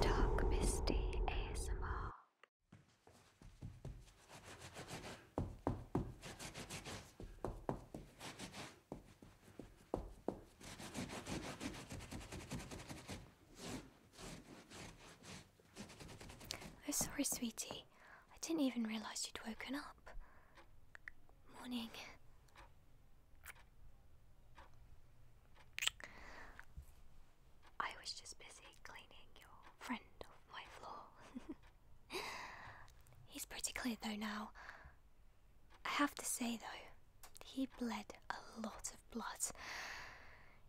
Dark Misty ASMR. Oh, sorry, sweetie. I didn't even realize you'd woken up. Morning. I was just busy cleaning your friend off floor. He's pretty clear though now. I have to say though, he bled a lot of blood.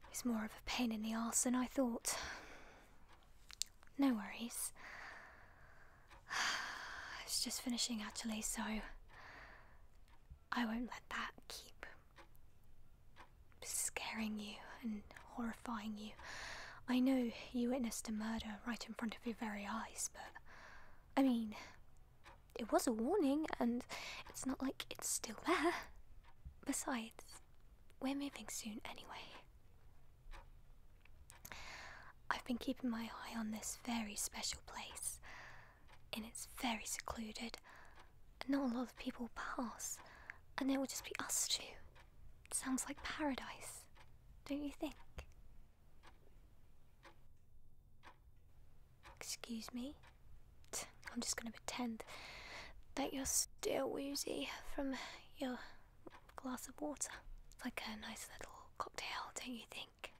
He's more of a pain in the ass than I thought. No worries. I was just finishing actually, so I won't let that keep scaring you and horrifying you. I know you witnessed a murder right in front of your very eyes, but I mean, it was a warning and it's not like it's still there. Besides, we're moving soon anyway. I've been keeping my eye on this very special place and it's very secluded, and not a lot of people pass, and it will just be us two. sounds like paradise, don't you think? Excuse me? I'm just gonna pretend that you're still woozy from your glass of water. It's like a nice little cocktail, don't you think?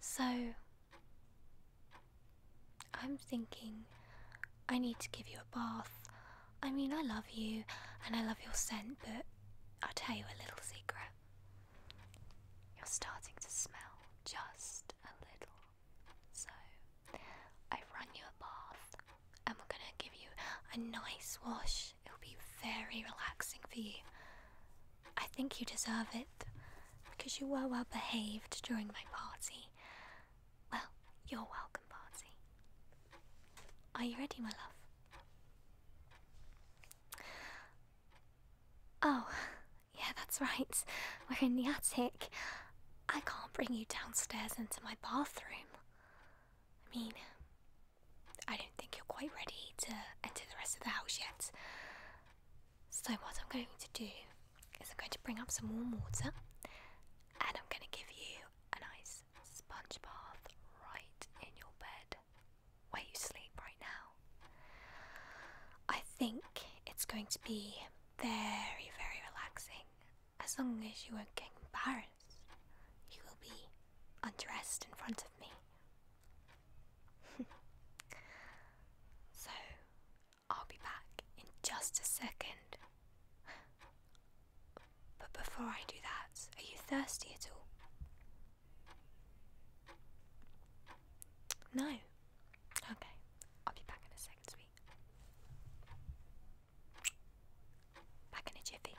so, I'm thinking I need to give you a bath. I mean, I love you and I love your scent, but i tell you a little secret. You're starting to smell just a little. So, I've run you a bath and we're gonna give you a nice wash it will be very relaxing for you. I think you deserve it because you were well behaved during my party. Well, you're welcome, party. Are you ready, my love? Oh, yeah, that's right. We're in the attic. I can't bring you downstairs into my bathroom. I mean, I don't think you're quite ready to enter the rest of the house yet. So, what I'm going to do is I'm going to bring up some warm water and I'm going to give you a nice sponge bath right in your bed where you sleep right now. I think it's going to be very, very relaxing. As long as you are not getting embarrassed, you will be undressed in front of me so, I'll be back in just a second. But before I do that, are you thirsty at all? No. Okay, I'll be back in a second, sweet. Back in a jiffy.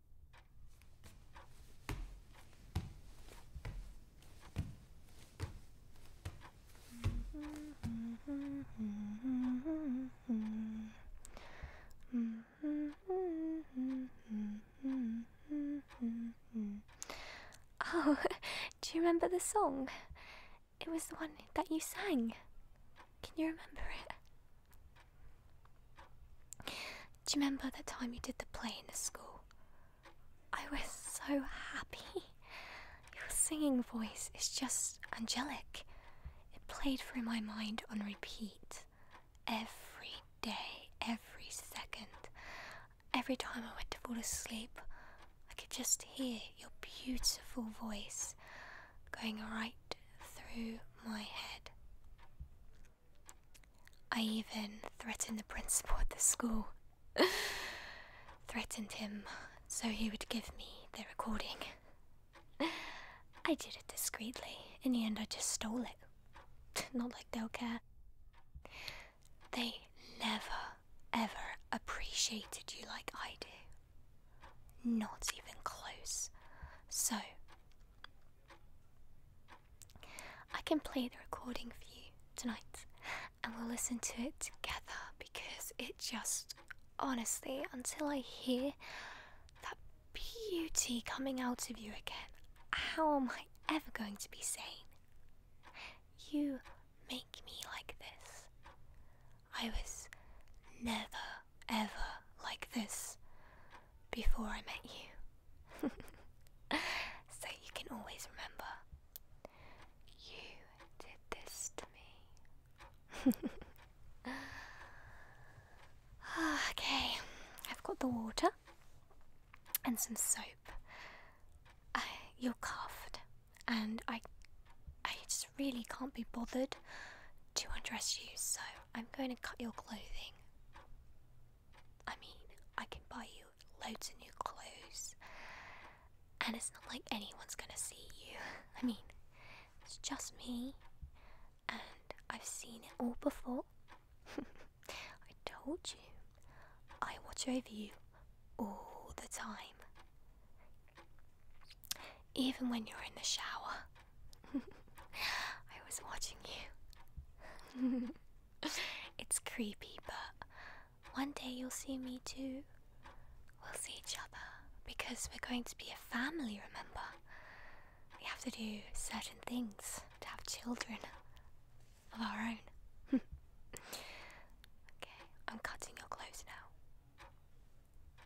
Oh, do you remember the song? It was the one that you sang. Can you remember it? Do you remember that time you did the play in the school? I was so happy. Your singing voice is just angelic. It played through my mind on repeat every day, every second. Every time I went to fall asleep, I could just hear your beautiful voice going right through my head. I even threatened the principal at the school. threatened him so he would give me the recording. I did it discreetly. In the end, I just stole it. Not like they'll care. They never, ever appreciated you like I do. Not even close. So, I can play the recording for you tonight and we'll listen to it together because it just honestly, until I hear that beauty coming out of you again, how am I ever going to be sane? You make me like this. I was never ever like this before I met you. so you can always remember you did this to me. Ah, okay, I've got the water and some soap. you're coughed, and I, I just really can't be bothered to undress you, so I'm going to cut your clothing. I mean, I can buy you loads of new clothes, and it's not like anyone's gonna see you. I mean, it's just me, and I've seen it all before. I told you, I watch over you all the time. Even when you're in the shower, I was watching you. it's creepy, but one day you'll see me too. We'll see each other because we're going to be a family, remember? We have to do certain things to have children of our own. okay, I'm cutting your clothes now.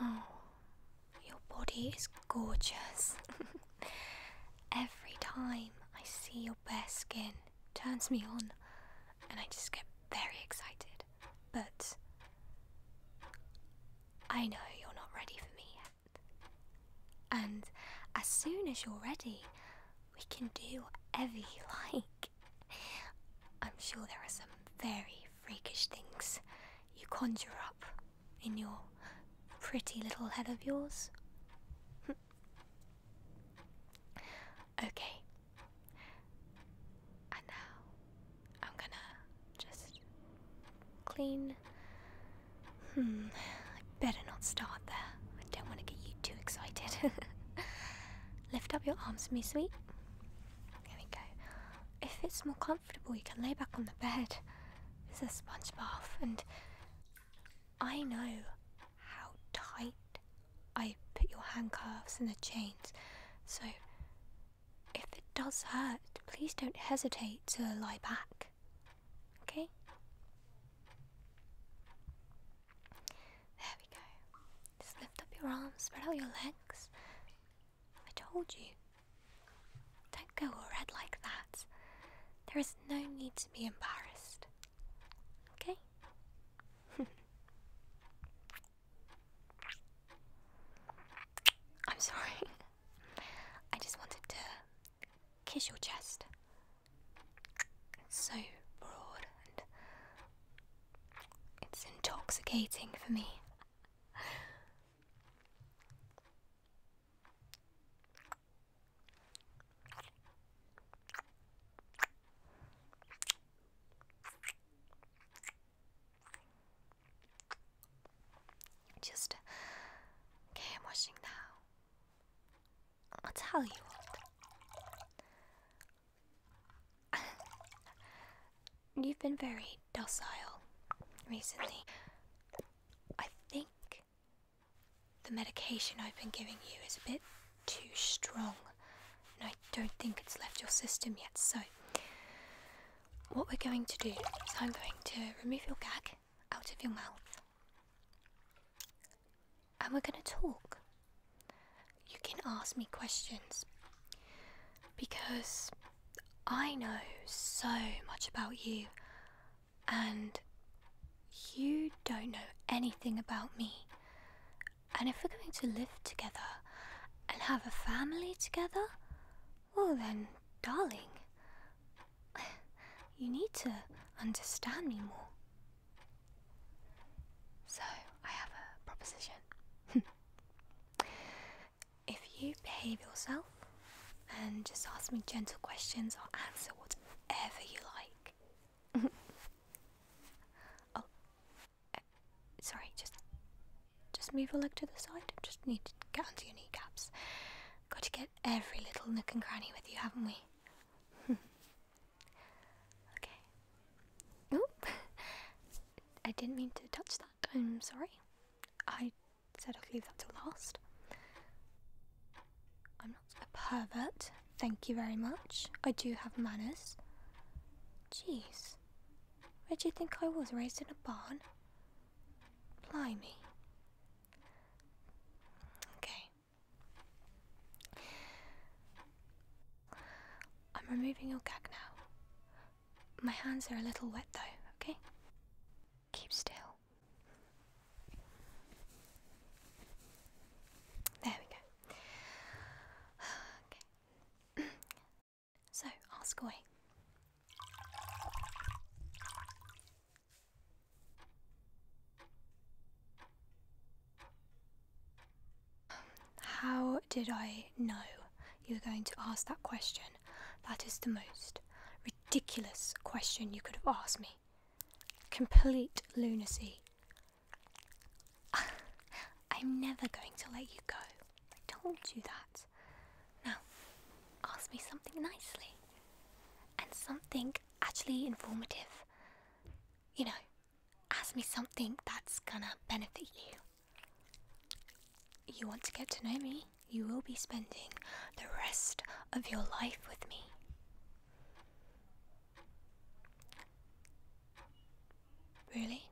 Oh, your body is gorgeous. Every time I see your bare skin, turns me on, and I just get very excited. But I know you're not ready for me yet. And as soon as you're ready, we can do whatever you like. I'm sure there are some very freakish things you conjure up in your pretty little head of yours. okay. And now I'm gonna just clean. Hmm, I better not start there. I don't want to get you too excited. Lift up your arms for me, sweet. Here we go. If it's more comfortable, you can lay back on the bed. It's a sponge bath, and I know how tight I put your handcuffs and the chains. So, if it does hurt, please don't hesitate to lie back. Okay? There we go. Just lift up your arms, spread out your legs. I told you. Don't go all red like that. There is no need to be embarrassed. Okay? I'm sorry. I just wanted to kiss your chest. It's so broad and it's intoxicating for me. Just game washing now. I'll tell you what. You've been very docile recently. I think the medication I've been giving you is a bit too strong, and I don't think it's left your system yet. So, what we're going to do is I'm going to remove your gag out of your mouth, and we're going to talk you can ask me questions because I know so much about you and you don't know anything about me. And if we're going to live together and have a family together, well then, darling, you need to understand me more. So, I have a proposition. If you behave yourself and just ask me gentle questions, or answer whatever you like. oh, eh, sorry, just just move a leg to the side. Just need to get under your kneecaps. Got to get every little nook and cranny with you, haven't we? Okay. Oop! I didn't mean to touch that. I'm sorry. I said I'd leave that till last. I'm not a pervert. Thank you very much. I do have manners. Jeez. Where do you think I was? Raised in a barn? Blimey. Okay. I'm removing your gag now. My hands are a little wet though, okay? Keep still. There we go. Okay. so, ask away. How did I know you were going to ask that question? That is the most ridiculous question you could have asked me. Complete lunacy. I'm never going to let you go. I told you that. Now, ask me something nicely. And something actually informative. You know, ask me something that's gonna benefit you. You want to get to know me, you will be spending the rest of your life with me. Really?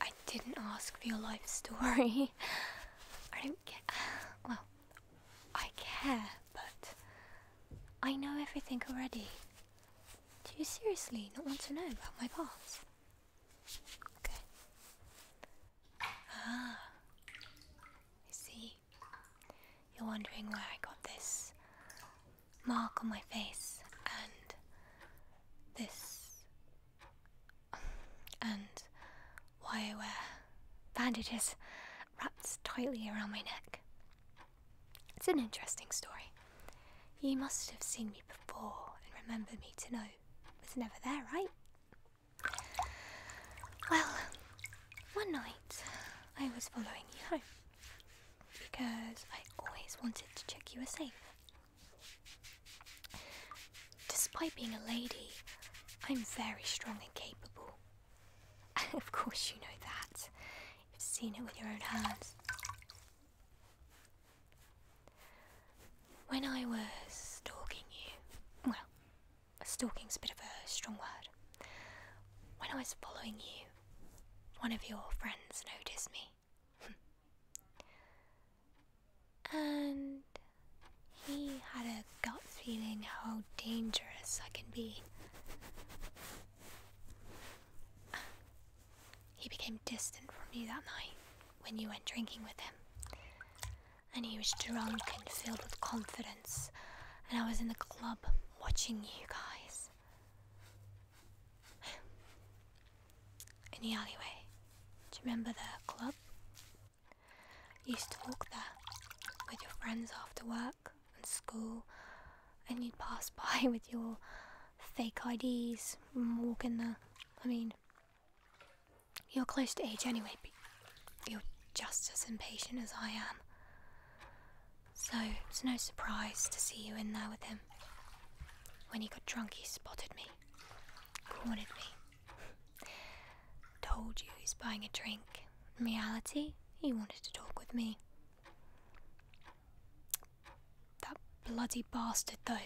I didn't ask for your life story. I don't get. Well, I care, but I know everything already. Do you seriously not want to know about my past? Okay. Ah, I see. You're wondering why I got this mark on my face and this and why I wear bandages wrapped tightly around my neck. It's an interesting story. You must have seen me before and remember me to know it was never there, right? Well, one night I was following you home because I always wanted to check you were safe. Despite being a lady, I'm very strong and capable, of course you know that. You've seen it with your own eyes. When I was stalking you, well, stalking's a bit of a strong word. When I was following you, one of your friends noticed me. and he had a a gut feeling how dangerous I can be. He became distant from you that night when you went drinking with him. And he was drunk and filled with confidence, and I was in the club watching you guys. In the alleyway. Do you remember the club? You used to walk there with your friends after work and school, and you'd pass by with your fake IDs and walk in there. I mean, you're close to age anyway, but you're just as impatient as I am. So it's no surprise to see you in there with him. When he got drunk, he spotted me, cornered me, Told you he's buying a drink. In reality, he wanted to talk with me. That bloody bastard, though.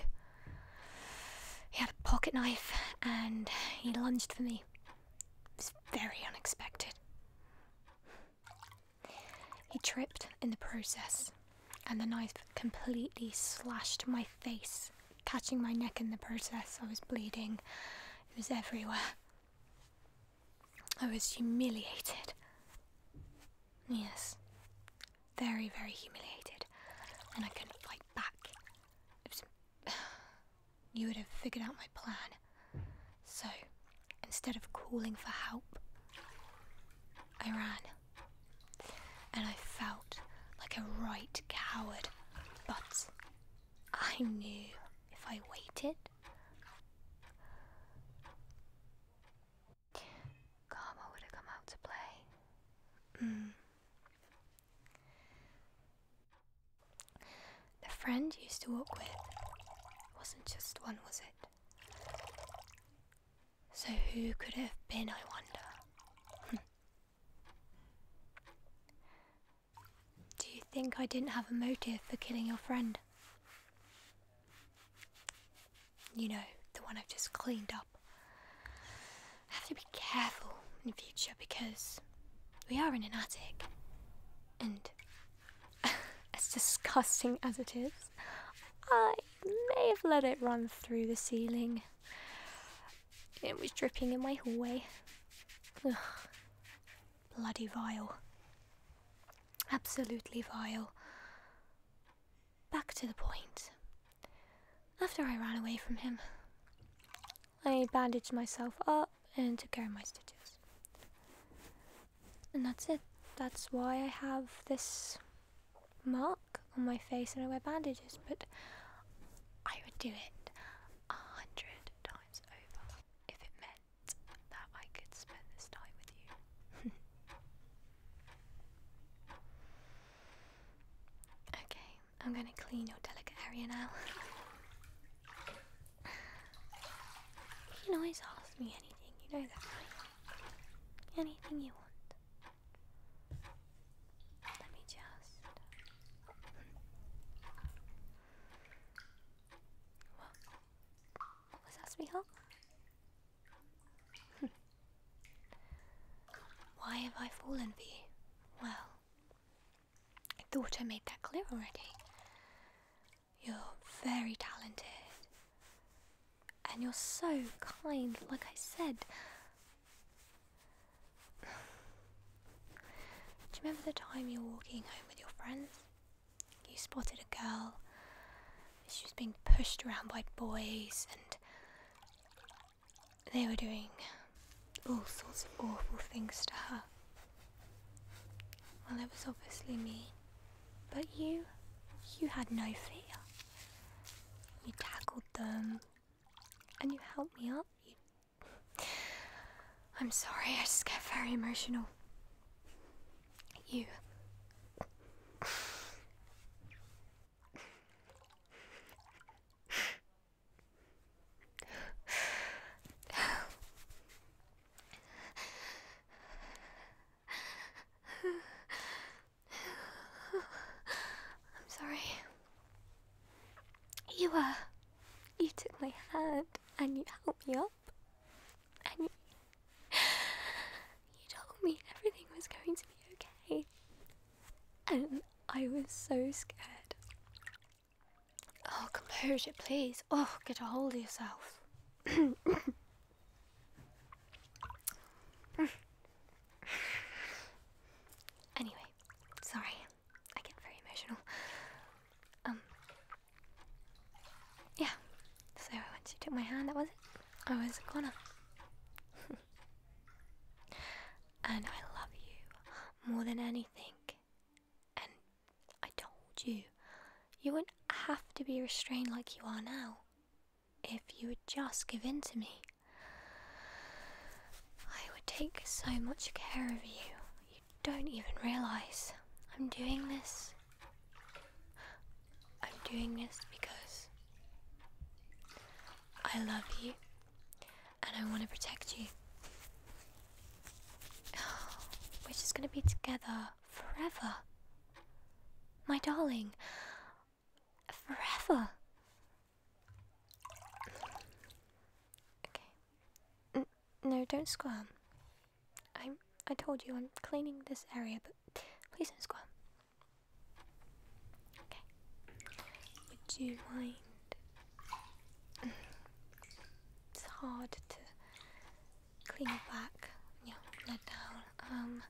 He had a pocket knife and he lunged for me. It was very unexpected. He tripped in the process, and the knife completely slashed my face, catching my neck in the process. I was bleeding, it was everywhere. I was humiliated. Yes, very, very humiliated. And I couldn't fight back. you would have figured out my plan. So, instead of calling for help, I ran. And I felt like a right coward. But I knew if I waited. Karma would have come out to play. Mm. The friend used to walk with wasn't just one, was it? So who could it have been, I wonder? Do you think I didn't have a motive for killing your friend? You know, the one I've just cleaned up. I have to be careful in the future because we are in an attic. And as disgusting as it is, I may have let it run through the ceiling. It was dripping in my hallway. Bloody vile. Absolutely vile. Back to the point. After I ran away from him, I bandaged myself up and took care of my stitches. And that's it. That's why I have this mark on my face and I wear bandages, but I would do it a hundred times over if it meant that I could spend this time with you. okay, I'm gonna clean your delicate area now. you can always ask me anything, you know that, right? Anything you want. Let me just. Uh, what? was that, sweetheart? Why have I fallen for you? Well, I thought I made that clear already. You're very talented. And you're so kind, like I said. Do you remember the time you were walking home with your friends? You spotted a girl. She was being pushed around by boys, and they were doing all sorts of awful things to her. Well, it was obviously me. But you, you had no fear. You tackled them, and you helped me up. I'm sorry, I just get very emotional. You. I'm sorry. You were. you took my hand and you helped me up, and you, you told me everything was going to be okay, and I was so scared. Oh, composure, please. Oh, get a hold of yourself. anyway, sorry. I get very emotional. Um. Yeah. So once you took my hand, that was it. I was a goner. and I love you more than anything. And I told you, you wouldn't have to be restrained like you are now if you would just give in to me. I would take so much care of you. You don't even realize I'm doing this. I'm doing this because I love you and I want to protect you. We're just going to be together forever. My darling, forever. Okay. no, don't squirm. I I told you I'm cleaning this area, but please don't squirm. Okay. Would you mind? It's hard to clean back, yeah, down. Um,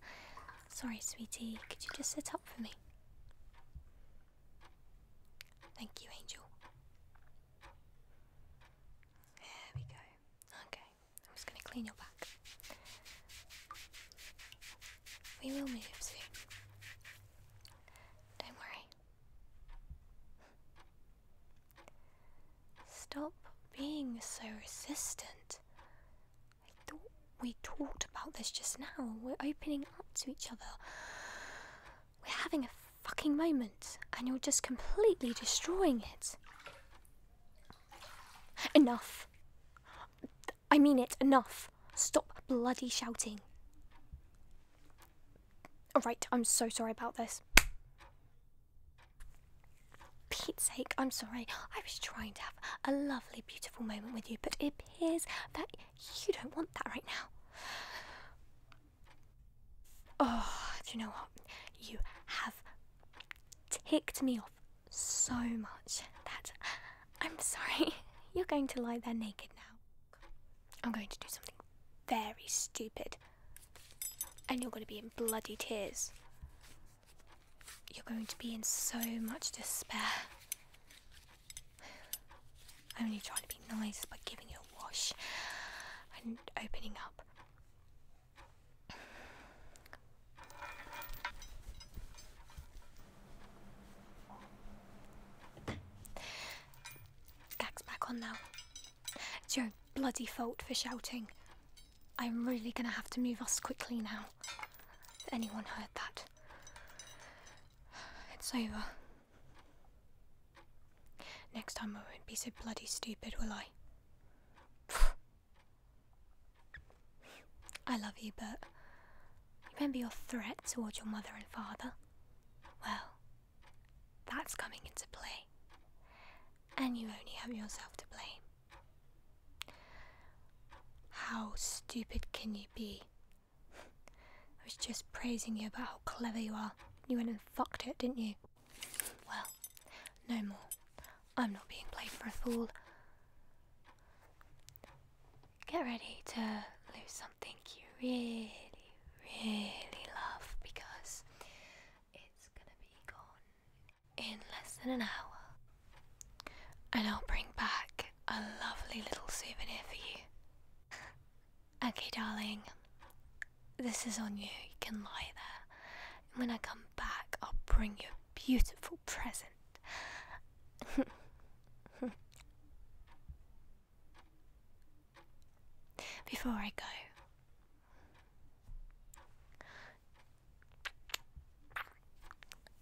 Sorry, sweetie, could you just sit up for me? Thank you, Angel. There we go. Okay, I'm just going to clean your back. We will move soon. Don't worry. Stop being so resistant. I thought we talked about this just now. We're opening up to each other. We're having a fucking moment, and you're just completely destroying it. Enough. I mean it, enough. Stop bloody shouting. Alright, I'm so sorry about this. Pete's sake, I'm sorry. I was trying to have a lovely, beautiful moment with you, but it tears that you don't want that right now. Oh, do you know what? You have ticked me off so much that I'm sorry. You're going to lie there naked now. I'm going to do something very stupid. And you're going to be in bloody tears. You're going to be in so much despair. Only trying to be nice by giving you a wash and opening up. Gag's back on now. It's your bloody fault for shouting. I'm really gonna have to move us quickly now. If anyone heard that. It's over. Next time I won't be so bloody stupid, will I? I love you, but remember your threat towards your mother and father? Well, that's coming into play. And you only have yourself to blame. How stupid can you be? I was just praising you about how clever you are. You went and fucked it, didn't you? Well, no more. I'm not being played for a fool. Get ready to lose something you really, really love because it's gonna be gone in less than an hour, and I'll bring back a lovely little souvenir for you. okay, darling, this is on you. You can lie there. And when I come back, I'll bring you a beautiful present. Before I go,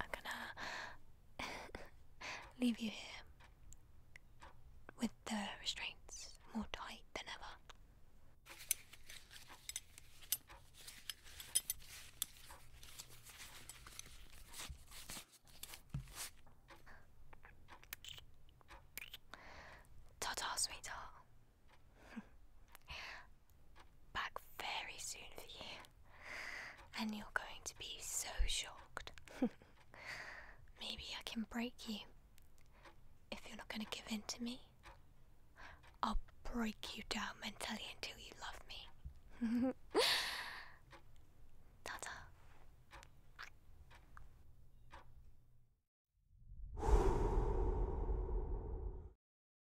I'm gonna leave you here with the restraints more tight than ever. Ta ta, back very soon for you, and you're going to be so shocked. Maybe I can break you. If you're not going to give in to me, I'll break you down mentally until you love me. Ta